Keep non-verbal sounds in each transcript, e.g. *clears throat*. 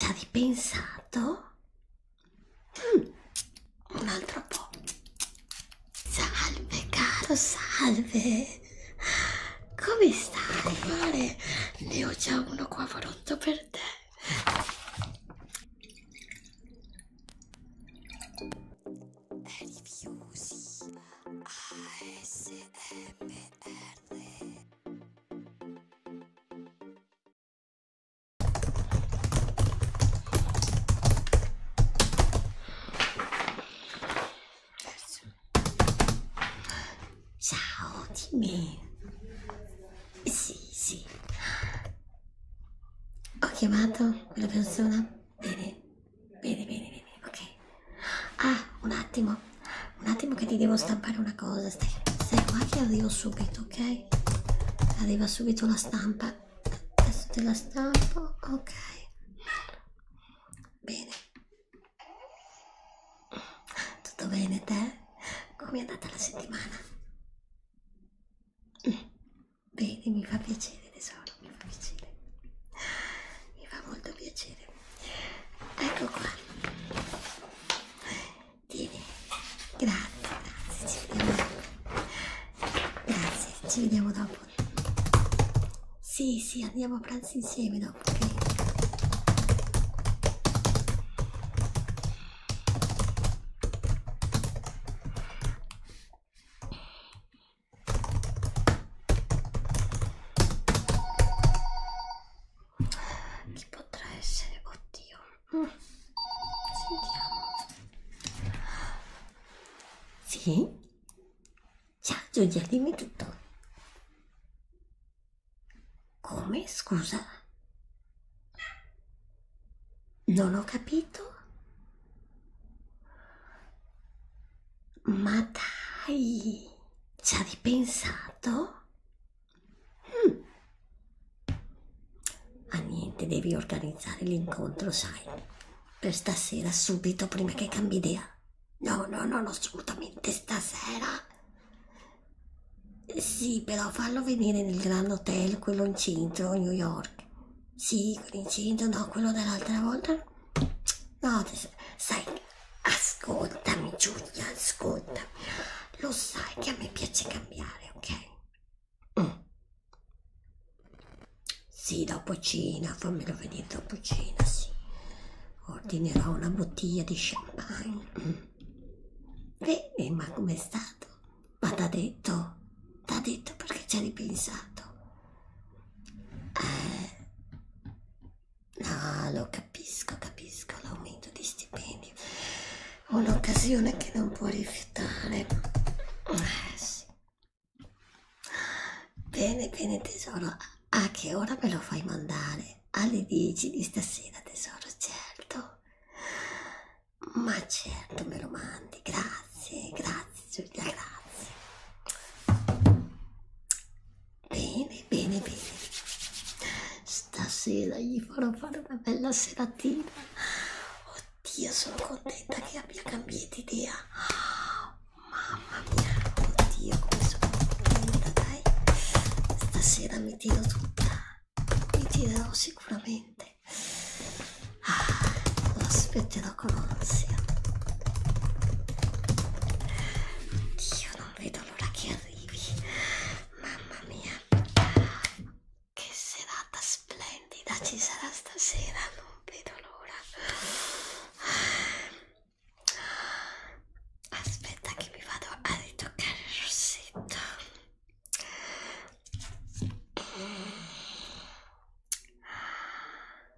Ci hai pensato? Mm, un altro po'. Salve caro, salve. Come stai, amore? Ne ho già uno qua pronto per te. Rifiusi ASMR Ciao, dimmi. Sì, sì. Ho chiamato quella persona? Bene, bene, bene, bene, ok. Ah, un attimo no? Un attimo che ti devo stampare una cosa, stai, stai qua che arrivo subito, ok? Arriva subito la stampa. Adesso te la stampo, ok. Bene. Tutto bene te? Come è andata la settimana? Bene, mi fa piacere tesoro, mi fa piacere. Mi fa molto piacere. Ecco qua. Tieni. Grazie, grazie, ci vediamo dopo. Grazie, ci vediamo dopo. Sì, sì, andiamo a pranzo insieme dopo, ok? chi potrà essere oddio mm. sentiamo sì ciao Giulia dimmi tutto come scusa non ho capito ma dai ci ha ripensato? Mm. Ma niente, devi organizzare l'incontro, sai, per stasera subito prima che cambi idea. No, no, no, no, assolutamente stasera. Sì, però fallo venire nel Grand Hotel, quello in centro, New York. Sì, quello in centro, no, quello dell'altra volta No, sai, ascoltami Giulia, ascoltami. Lo sai che a me piace cambiare, ok? Mm. Sì, dopo cena, fammelo vedere dopo cena, sì. Ordinerò una bottiglia di champagne. Mm. Vedi, eh, eh, ma com'è stato? Ma t'ha detto? T'ha detto perché ci hai ripensato? Eh, Ah, lo capisco, capisco l'aumento di stipendio. Un'occasione che non può rifiutare. Eh, sì. Bene, bene tesoro. A ah, che ora me lo fai mandare? Alle 10 di stasera tesoro, certo. Ma certo me lo mandi, grazie, grazie Giulia, grazie. Bene, bene, bene. Stasera gli farò fare una bella seratina. Oddio, sono contenta che abbia cambiato idea. Mamma mia, oddio, come sono contenta, dai. Stasera mi tiro tutta. Mi tirerò sicuramente. Ah, lo aspetterò lo conosci Dio non vedo l'ora che arrivi mamma mia che serata splendida ci sarà stasera non vedo l'ora aspetta che mi vado a ritoccare il rossetto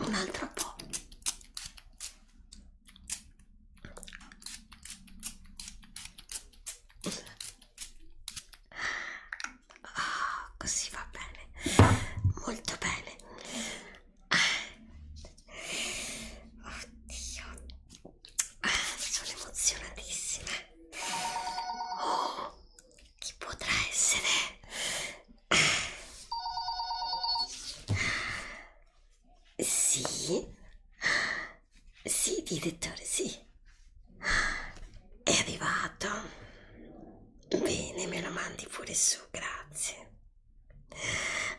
un altro po' oh, così va bene molto bene oddio ah, sono emozionatissima oh chi potrà essere? Sì, sì, direttore, sì. È arrivato. Bene, me lo mandi pure su, grazie.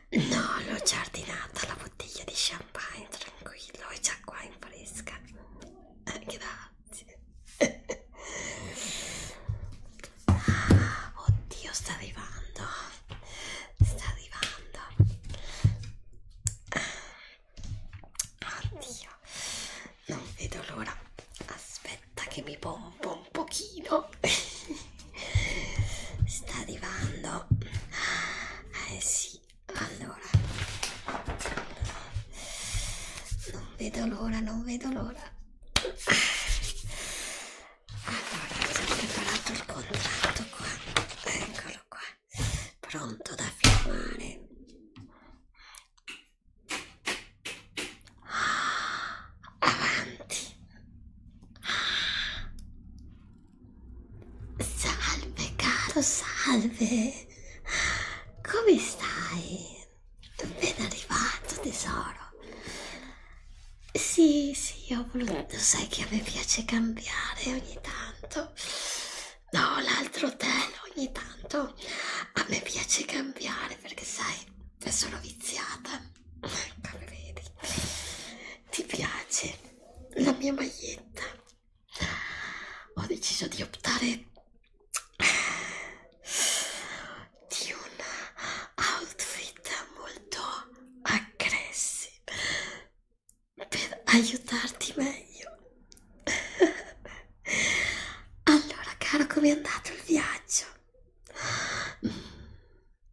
No, l'ho già ordinata la bottiglia di champagne, tranquillo, è già qua in fresca. Eh, grazie grazie. Ah, oddio, sta arrivando. Sta arrivando. Ah, oddio, non vedo l'ora. Aspetta che mi pompo un pochino. sta arrivando. Eh sì, sì, allora non vedo l'ora, non vedo l'ora. Allora, mi sono preparato il contratto qua, eccolo qua, pronto da firmare. Ah, avanti. Ah. Salve caro, salve! Come stai? Ben arrivato tesoro! Sì, sì, ho voluto, eh. sai che a me piace cambiare ogni tanto. No, l'altro hotel ogni tanto. A me piace cambiare perché sai, eh, sono viziata. Come vedi? Ti piace la mia maglietta? ho deciso di optare di un outfit molto aggressivo per aiutarti meglio allora caro com'è andato il viaggio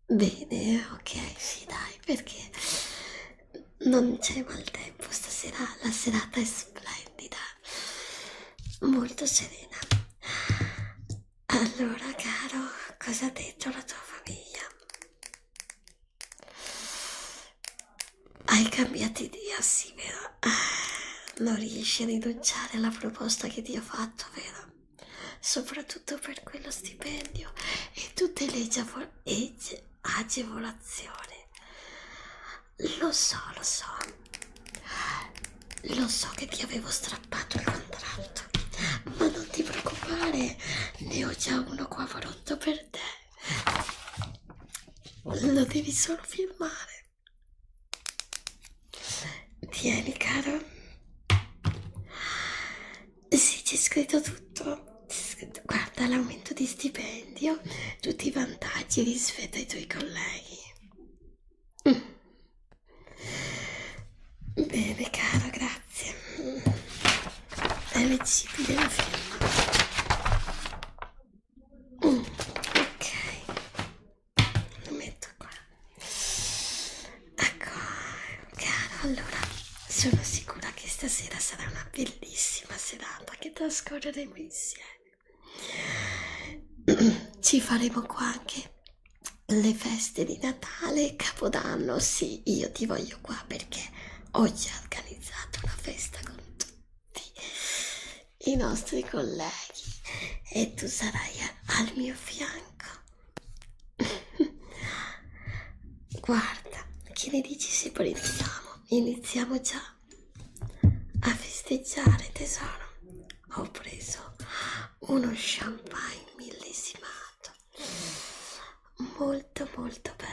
bene ok sì dai perché non c'è maltempo stasera, la serata è splendida, molto serena. Allora, caro, cosa ha detto la tua famiglia? Hai cambiato idea, sì, vero? Non riesci a rinunciare alla proposta che ti ho fatto, vero? Soprattutto per quello stipendio e tutte le, e agevolazione lo so lo so lo so che ti avevo strappato il contratto ma non ti preoccupare ne ho già uno qua pronto per te lo devi solo firmare tieni caro sì, c'è scritto tutto. Scritto, guarda l'aumento di stipendio, tutti i vantaggi rispetto ai tuoi colleghi. Mm. Bene, caro, grazie. È leggibile la firma. Mm. Ok, lo metto qua. Ecco, Cara, allora sono sicura che stasera sarà una bellissima serata che trascorreremo insieme. *clears throat* Ci faremo qua anche le feste di Natale e Capodanno. Sì, io ti voglio qua perché ho già organizzato una festa con tutti i nostri colleghi e tu sarai al mio fianco *laughs* Guarda, che ne dici se prendiamo? Iniziamo già a festeggiare, tesoro. Ho preso uno champagne millesimato, molto, molto bello.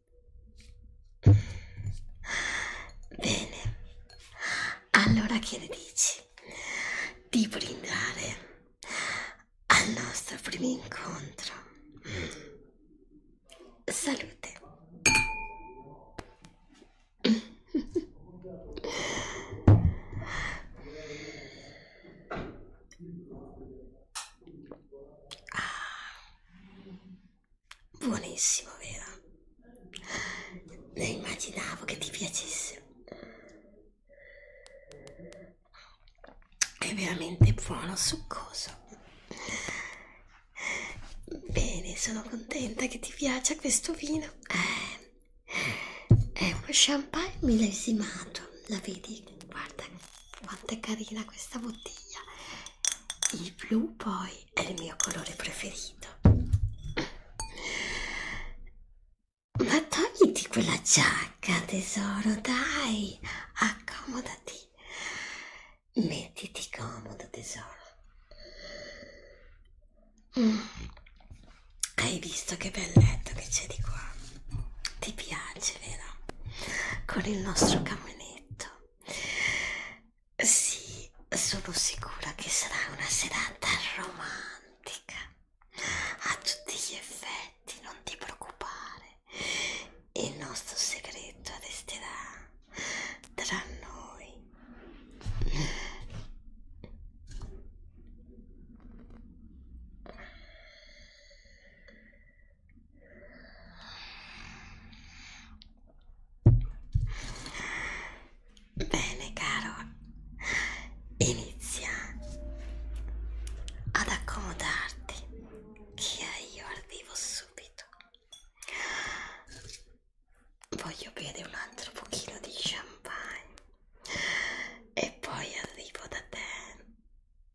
Bene, allora che ne dici di brindare al nostro primo incontro? Salute. Ah. Buonissimo, vero? Ne eh, immaginavo che ti piacesse. È veramente buono, succoso. Bene, sono contenta che ti piaccia questo vino. Eh, è uno champagne millesimato. La vedi? Guarda quanto è carina questa bottiglia. Il blu poi è il mio colore preferito. Ma togliti quella giacca, tesoro, dai, accomodati. Mettiti comodo, tesoro. Mm. Hai visto che belletto che c'è di qua? Ti piace, vero? Con il nostro camionetto. Sì, sono sicura che sarà una serata romantica. A tutti gli effetti, non ti preoccupare. Il nostro segreto resterà tra noi. Bene, caro, inizia ad accomodarti che io arrivo subito. Voglio bere un altro pochino di champagne e poi arrivo da te